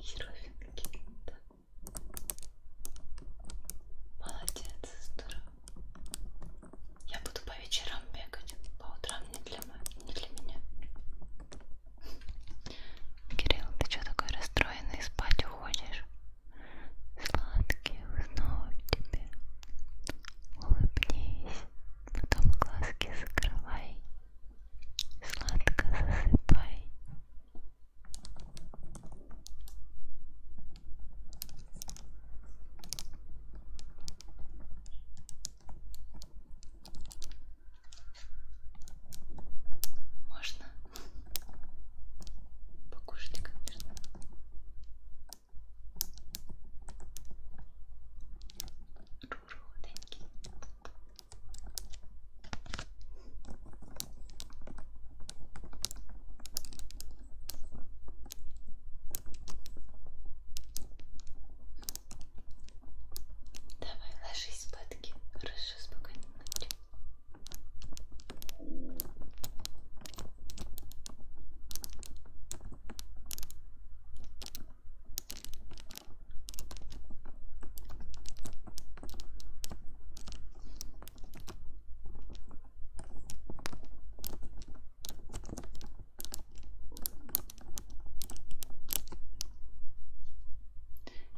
Херовенький, да. Молодец, здорово. Я буду по вечерам бегать, по утрам не для, мо... не для меня. Кирилл, ты что такой расстроенный, спать уходишь? Сладких снов тебе. Улыбнись, потом глазки закрывай Сладко засыпай. Можно покушать, конечно. Руруденький. Давай, ложись спадки. Хорошо, спокойной ночи.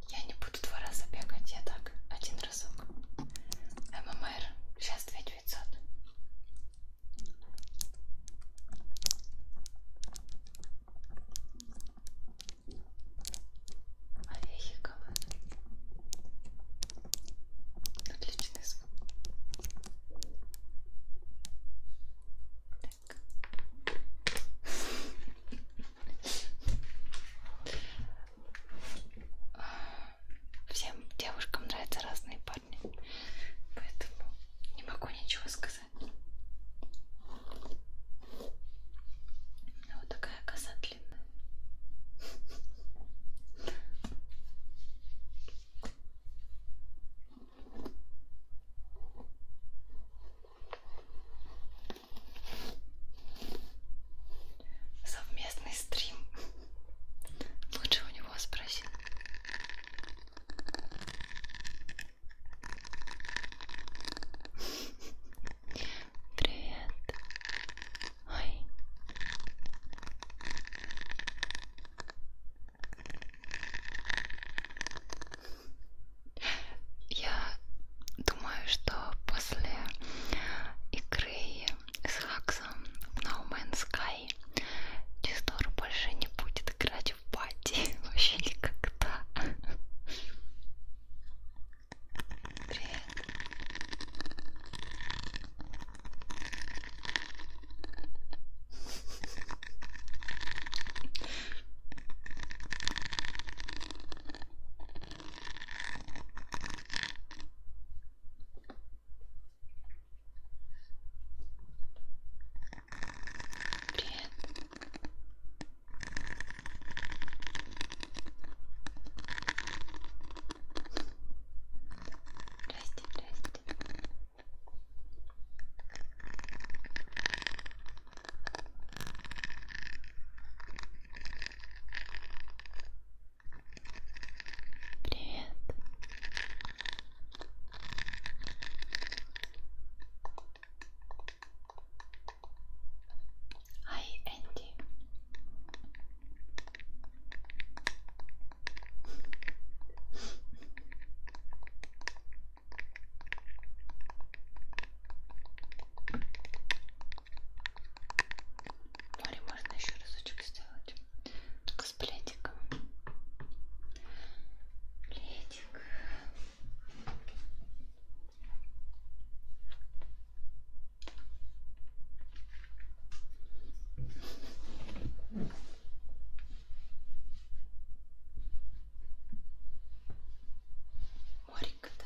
Я не буду два раза бегать, я так, один разок. ММР, сейчас 2900. Орехи Отличный звук. Так. Всем девушкам нравятся разные парни, поэтому не могу ничего сказать. Ну, вот такая коса длинная. Совместный стрим. Лучше у него спроси. Привет. Ой. Я думаю, что после игры с Хаксом в No Man's Sky Честор больше не будет играть играть в пати вообще никогда. Привет. Привет. Здрасте, здрасте. Привет. Ай, Энди. Море можно еще разочек сделать. Только с плетиком. Плетик. Моренько-то.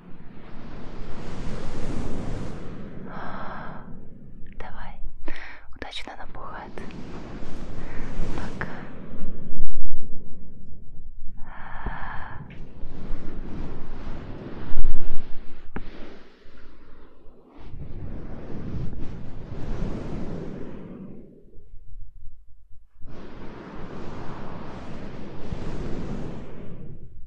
Давай. Удачно напугает. Пока. Пока.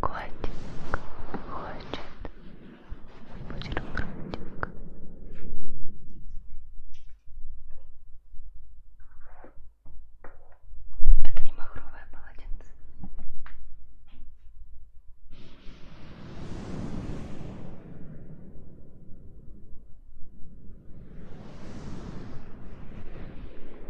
Котик хочет бутербродик. Это не махровое полотенце.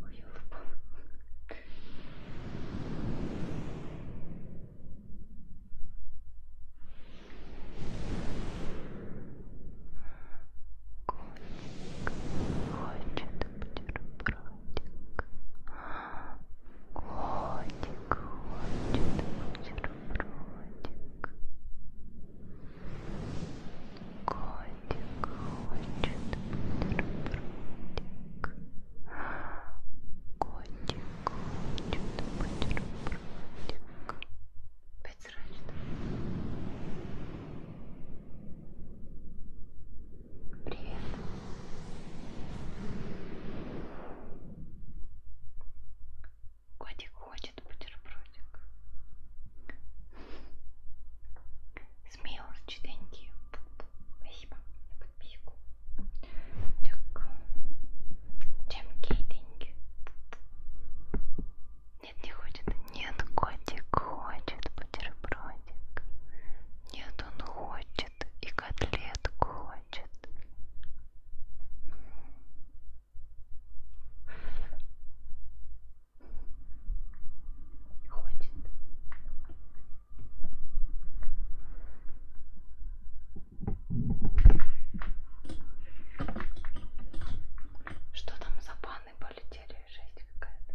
Котик хочет бутербродик. Котик, хочет бутербродик. Котик хочет бутербродик. Котик хочет бутербродик. Пять срочно. Привет. Котик хочет бутербродик. Смело, читенький. Спасибо за подписку. Так. Чем кейтинги? Нет, не хочет. Нет, котик хочет бутербродик. Нет, он хочет хочет, и котлет хочет. Хочет. Что там за паны полетели? Жесть какая-то.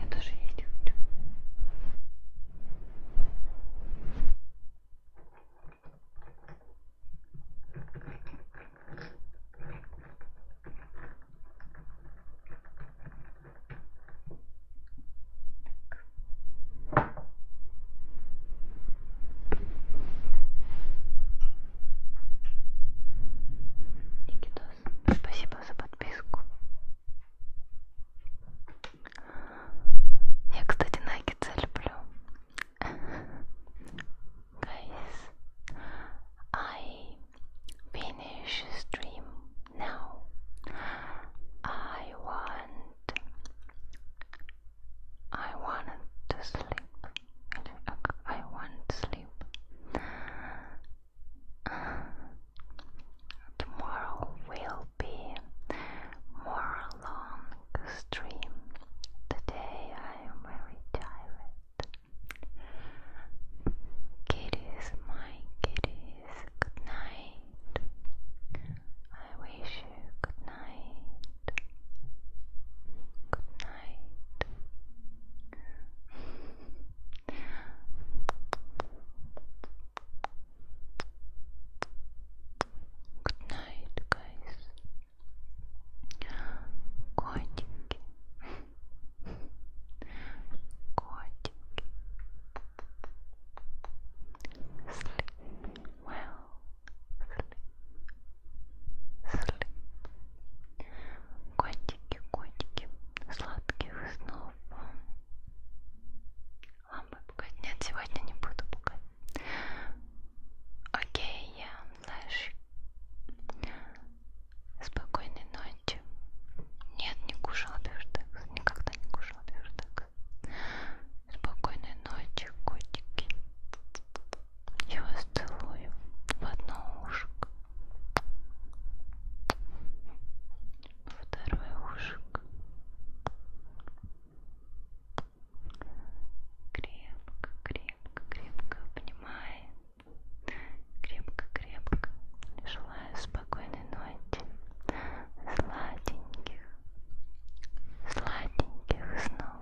я тоже есть хочу. Никитос, спасибо за подписку. Я, кстати, наггетсы люблю. Guys, I finish stream now. I want I wanted to sleep. I want to sleep. Tomorrow will be more long stream. Today I am very tired. Kitties, my kitties, good night. I wish you good night. Good night. [laughs] Good night, guys. Котики. Котики. Sleep well. Sleep. Sleep. Котики, котики. Сладких снов вам. Лампы пугать? Нет, сегодня не буду пугать. Окей, я флэш. Спокойной ночи. Нет, не кушала бюртекс. Никогда не кушала бюртекс. Спокойной ночи, котики. Я вас целую в одно ушко второе ушко крепко, крепко, крепко обнимаем крепко, крепко желаю спокойной ночи сладеньких сладеньких снов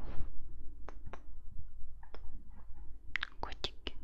котики